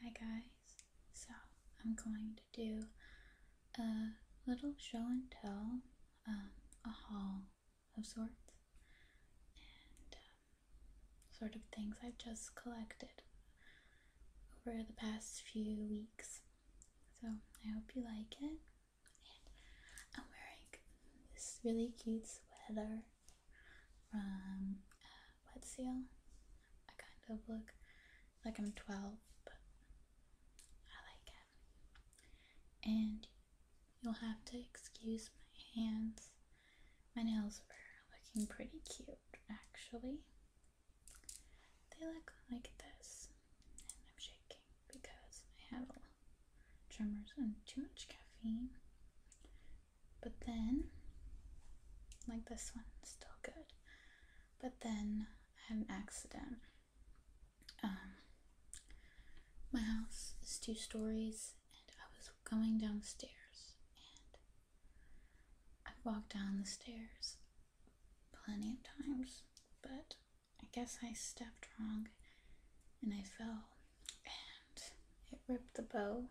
Hi guys, so I'm going to do a little show and tell, um, a haul of sorts, and um, sort of things I've just collected over the past few weeks. So I hope you like it. And I'm wearing this really cute sweater from Wet Seal. I kind of look like I'm 12, but I like it. And you'll have to excuse my hands. My nails were looking pretty cute, actually. They look like this. And I'm shaking because I had tremors and too much caffeine but then like this one still good but then I had an accident um my house is two stories and I was going downstairs and i walked down the stairs plenty of times but I guess I stepped wrong and I fell and it ripped the bow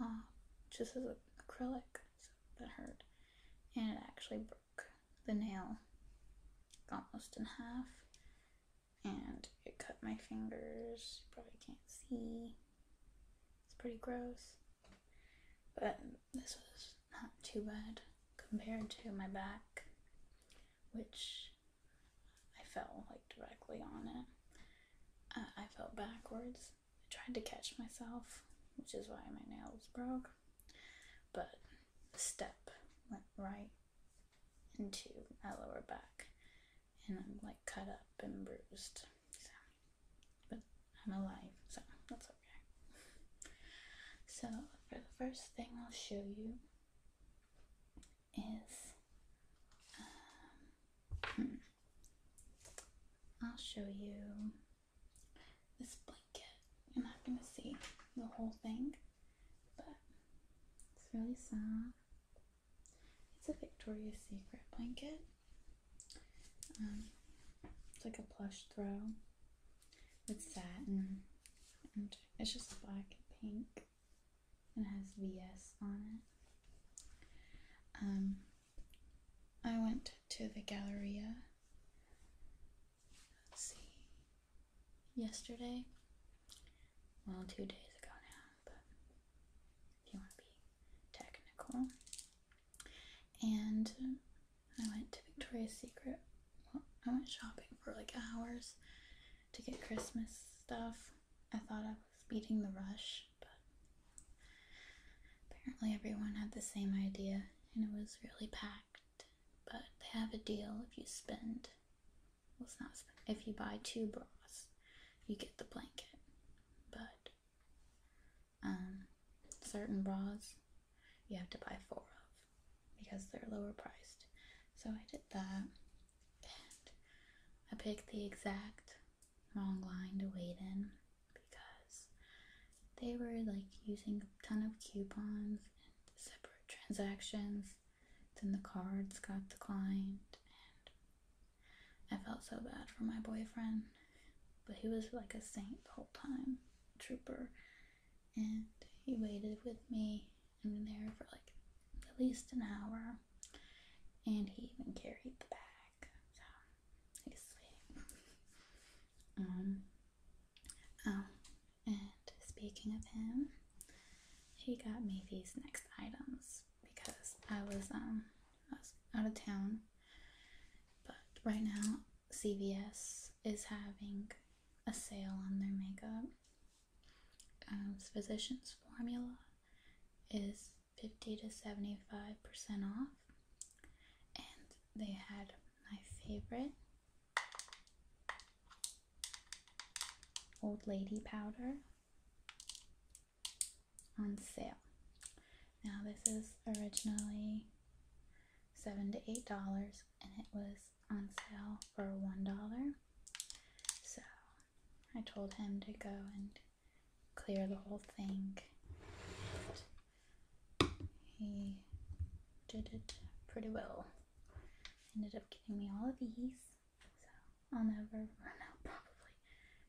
off just as acrylic, so that hurt. And it actually broke the nail almost in half, and it cut my fingers. probably can't see. It's pretty gross, but this was not too bad compared to my back, which I fell like directly on it. Uh, I fell backwards. I tried to catch myself, which is why my nail was broke. But the step went right into my lower back, and I'm like cut up and bruised. So, but I'm alive, so that's okay. So for the first thing I'll show you is um, hmm. I'll show you this blanket. You're not going to see the whole thing, but it's really soft. It's a Victoria's Secret blanket. Um, it's like a plush throw with satin, and it's just black and pink. It has VS on it. Um, I went to the Galleria, let's see, yesterday. Well, two days ago now, but if you want to be technical. And I went to Victoria's Secret. Well, I went shopping for like hours to get Christmas stuff. I thought I was beating the rush, but apparently everyone had the same idea and it was really packed. But they have a deal if you spend, well, it's not if you buy two bras, you get the blanket. But um, certain bras you have to buy four of because they're lower priced. So I did that and I picked the exact wrong line to wait in because they were like using a ton of coupons and separate transactions. Then the cards got declined and I felt so bad for my boyfriend. But he was like a saint the whole time, trooper, and he waited with me in there for like at least an hour, and he even carried the bag. So he's um. Oh, and speaking of him, he got me these next items because I was um I was out of town, but right now CVS is having a sale on their makeup um, physician's formula is 50 to 75% off. And they had my favorite old lady powder on sale. Now, this is originally seven to eight dollars, and it was on sale for one dollar. So I told him to go and clear the whole thing. And he did it pretty well. Ended up giving me all of these. So I'll never run out probably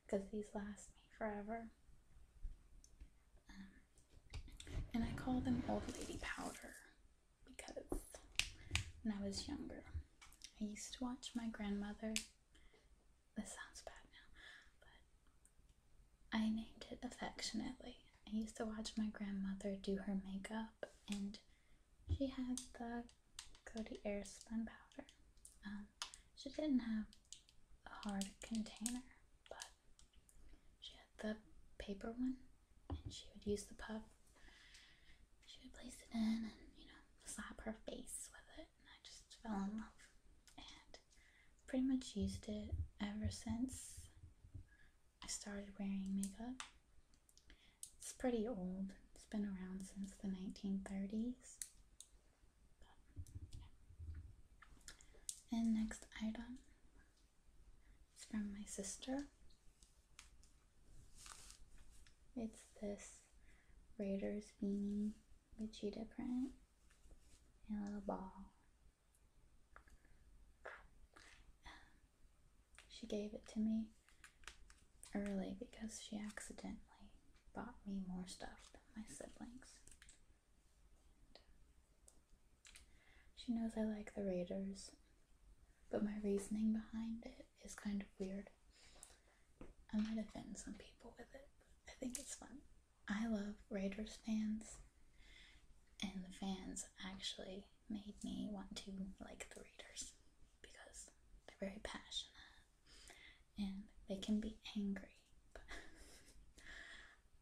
because these last me forever. Um, and I call them old lady powder because when I was younger, I used to watch my grandmother. This sounds bad now, but I named it affectionately. I used to watch my grandmother do her makeup, and she had the Cody Airspun powder. Um, she didn't have a hard container, but she had the paper one, and she would use the puff. She would place it in and, you know, slap her face with it, and I just fell in love. And pretty much used it ever since I started wearing makeup. It's pretty old, it's been around since the 1930s. But, And next item it's from my sister. It's this Raiders beanie the cheetah print and a little ball. Um, she gave it to me early because she accidentally bought me more stuff than my siblings. She knows I like the Raiders, but my reasoning behind it is kind of weird. I might offend some people with it, but I think it's fun. I love Raiders fans, and the fans actually made me want to like the Raiders because they're very passionate and they can be angry.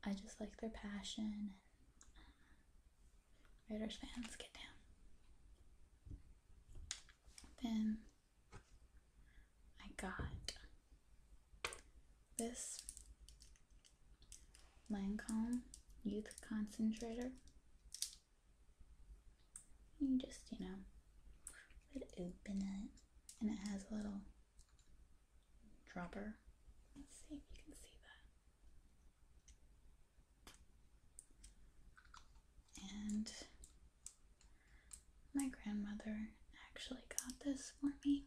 I just like their passion. And, uh, fans, get down. Then I got this Lancome Youth Concentrator. You just, you know, open it, and it has a little dropper. Let's see if you can see that. And my grandmother actually got this for me.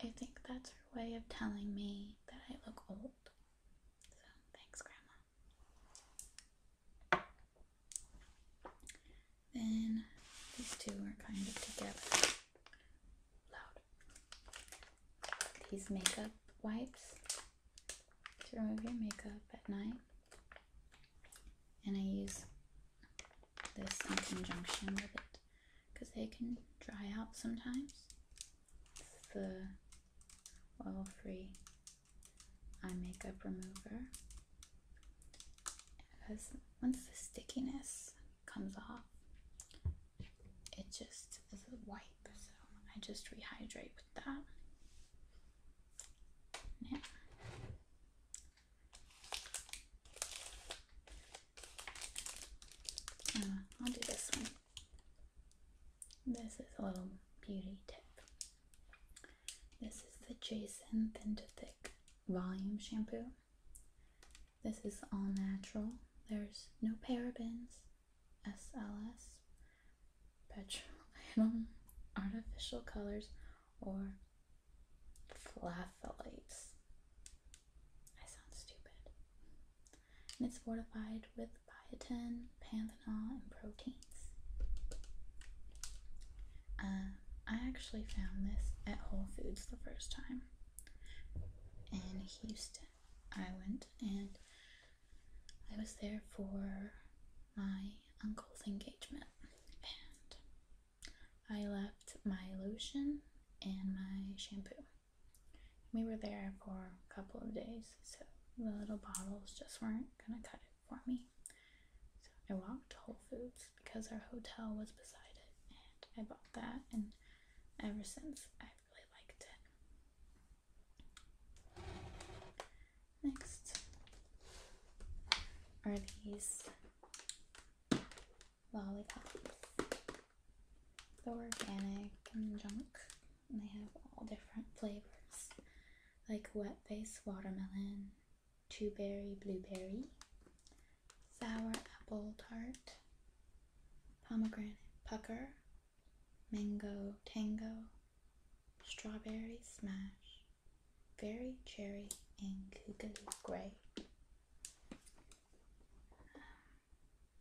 I think that's her way of telling me that I look old. So thanks, Grandma. Then these two are kind of together loud. These makeup wipes to remove your makeup at night. And I use this in conjunction with it because they can dry out sometimes. It's the oil free eye makeup remover. Because once the stickiness comes off. It just is a wipe, so I just rehydrate with that. Yeah. Uh, I'll do this one. This is a little beauty tip. This is the Jason Thin Thick Volume Shampoo. This is all natural. There's no parabens, SLS, petroleum, artificial colors, or flavonoids. I sound stupid. And it's fortified with biotin, panthenol, and proteins. Um, I actually found this at Whole Foods the first time in Houston. I went and I was there for my uncle's engagement, and I left my lotion and my shampoo. We were there for a couple of days, so the little bottles just weren't gonna cut it for me. So I walked to Whole Foods because our hotel was beside it, and I bought that, and ever since I really liked it. Next are these lollipops. They're organic and junk, and they have all different flavors like wet face watermelon Dewberry Blueberry, Sour Apple Tart, Pomegranate Pucker, Mango Tango, Strawberry Smash, fairy Cherry, and Koogaloo Gray.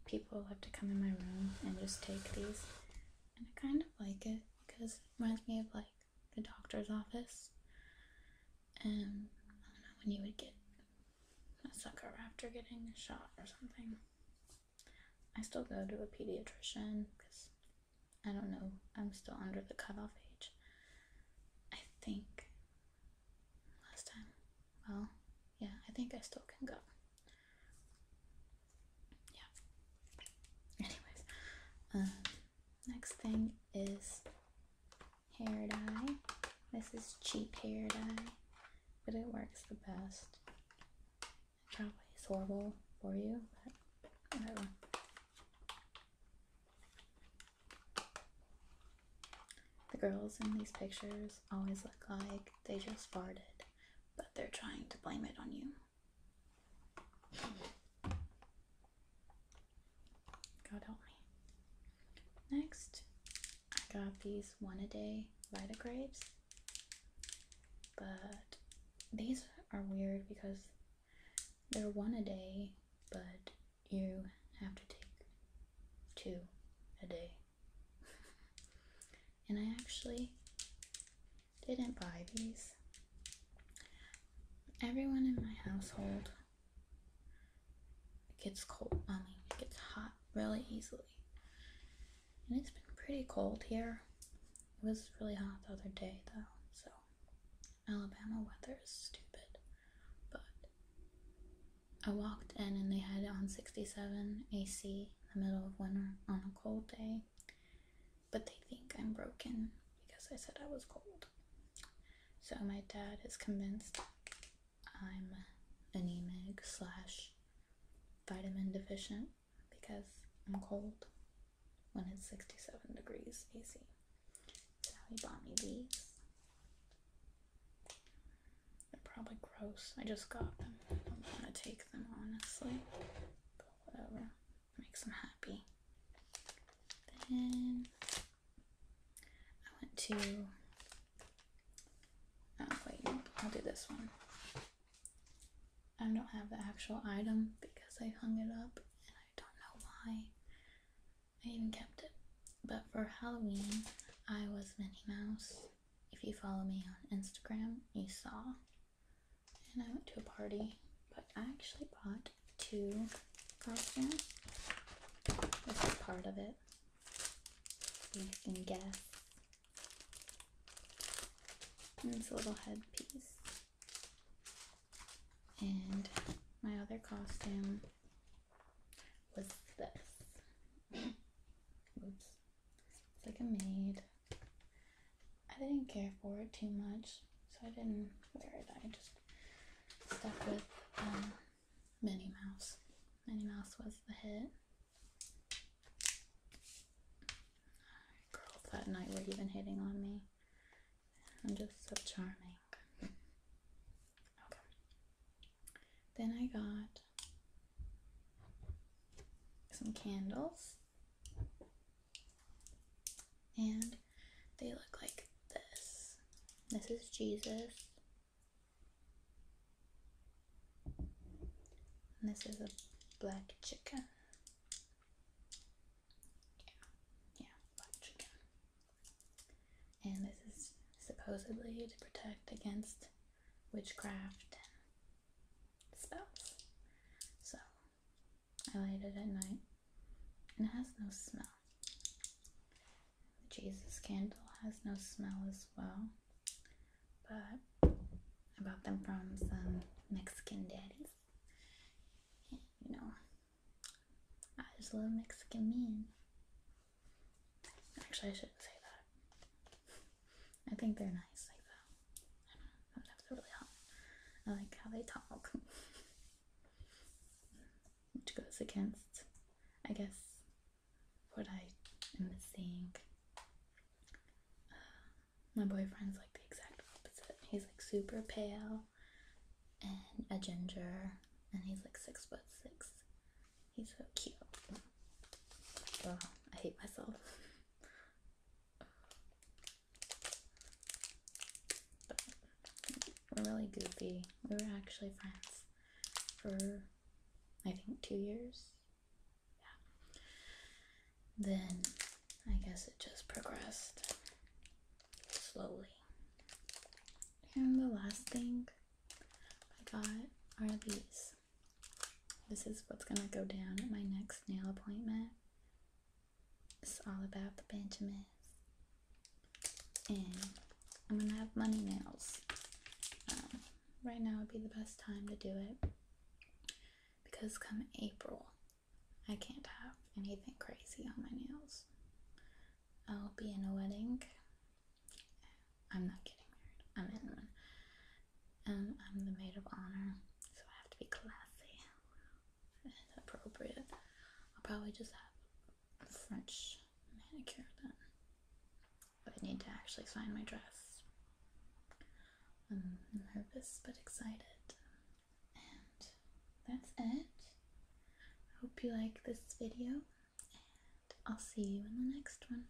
People love to come in my room and just take these, and I kind of like it because it reminds me of like the doctor's office, and um, I don't know when you would get a sucker after getting a shot or something. I still go to a pediatrician because I don't know, I'm still under the cutoff age. I think last time, well, yeah, I think I still can go. Yeah. Anyways, um, Next thing is hair dye. This is cheap hair dye, but it works the best. probably is horrible for you, but whatever. The girls in these pictures always look like they just farted, but they're trying to blame it on you. God help me. Next, I got these one a day Vita but these are weird because they're one a day, but you have to take two a day. and I actually didn't buy these. Everyone in my household gets cold. I mean, it gets hot really easily. And it's been pretty cold here. It was really hot the other day, though. So, Alabama weather is stupid. But I walked in and they had on 67 AC in the middle of winter on a cold day but they think I'm broken because I said I was cold. So my dad is convinced I'm anemic slash vitamin deficient because I'm cold when it's 67 degrees AC. So he bought me these. They're probably gross. I just got them. don't want to take them, honestly. But whatever makes them happy. Then I went to. Oh, wait, I'll do this one. I don't have the actual item because I hung it up and I don't know why. I even kept it. But for Halloween, I was Minnie Mouse. If you follow me on Instagram, you saw and I went to a party, but I actually bought two costumes. This is part of it. You can guess. And a little headpiece. And my other costume was this. Oops. It's like a maid. I didn't care for it too much, so I didn't wear it. I just stuck with um, Minnie Mouse. Minnie Mouse was the hit. Girls that night were even hitting on me. I'm just so charming. Okay. Then I got some candles. And they look like this. This is Jesus. And this is a black chicken. yeah, black chicken. And this is supposedly to protect against witchcraft spouse. So I light it at night and it has no smell. The Jesus candle has no smell as well. But I bought them from some Mexican daddies. you know, I just love Mexican men. Actually, I shouldn't say that. I think they're nice like that. I sometimes they're really hot. I like how they talk. Which goes against, I guess, what I am seeing. Uh, my boyfriend's like the exact opposite. He's like super pale and a ginger, and he's like six foot six. He's so cute. Well, I hate myself. We're really goofy. We were actually friends for I think two years. Yeah. Then I guess it just progressed slowly. And the last thing I got are these. This is what's gonna go down at my next nail appointment. It's all about the Benjamins. And I'm gonna have money nails. Um, right now would be the best time to do it because come April, I can't have anything crazy on my nails. I'll be in a wedding I'm not getting married. I'm in one. And I'm the maid of honor, so I have to be classy and appropriate. I'll probably just have a French manicure then. But I need to actually find my dress. I'm nervous but excited. And that's it. I hope you like this video, and I'll see you in the next one.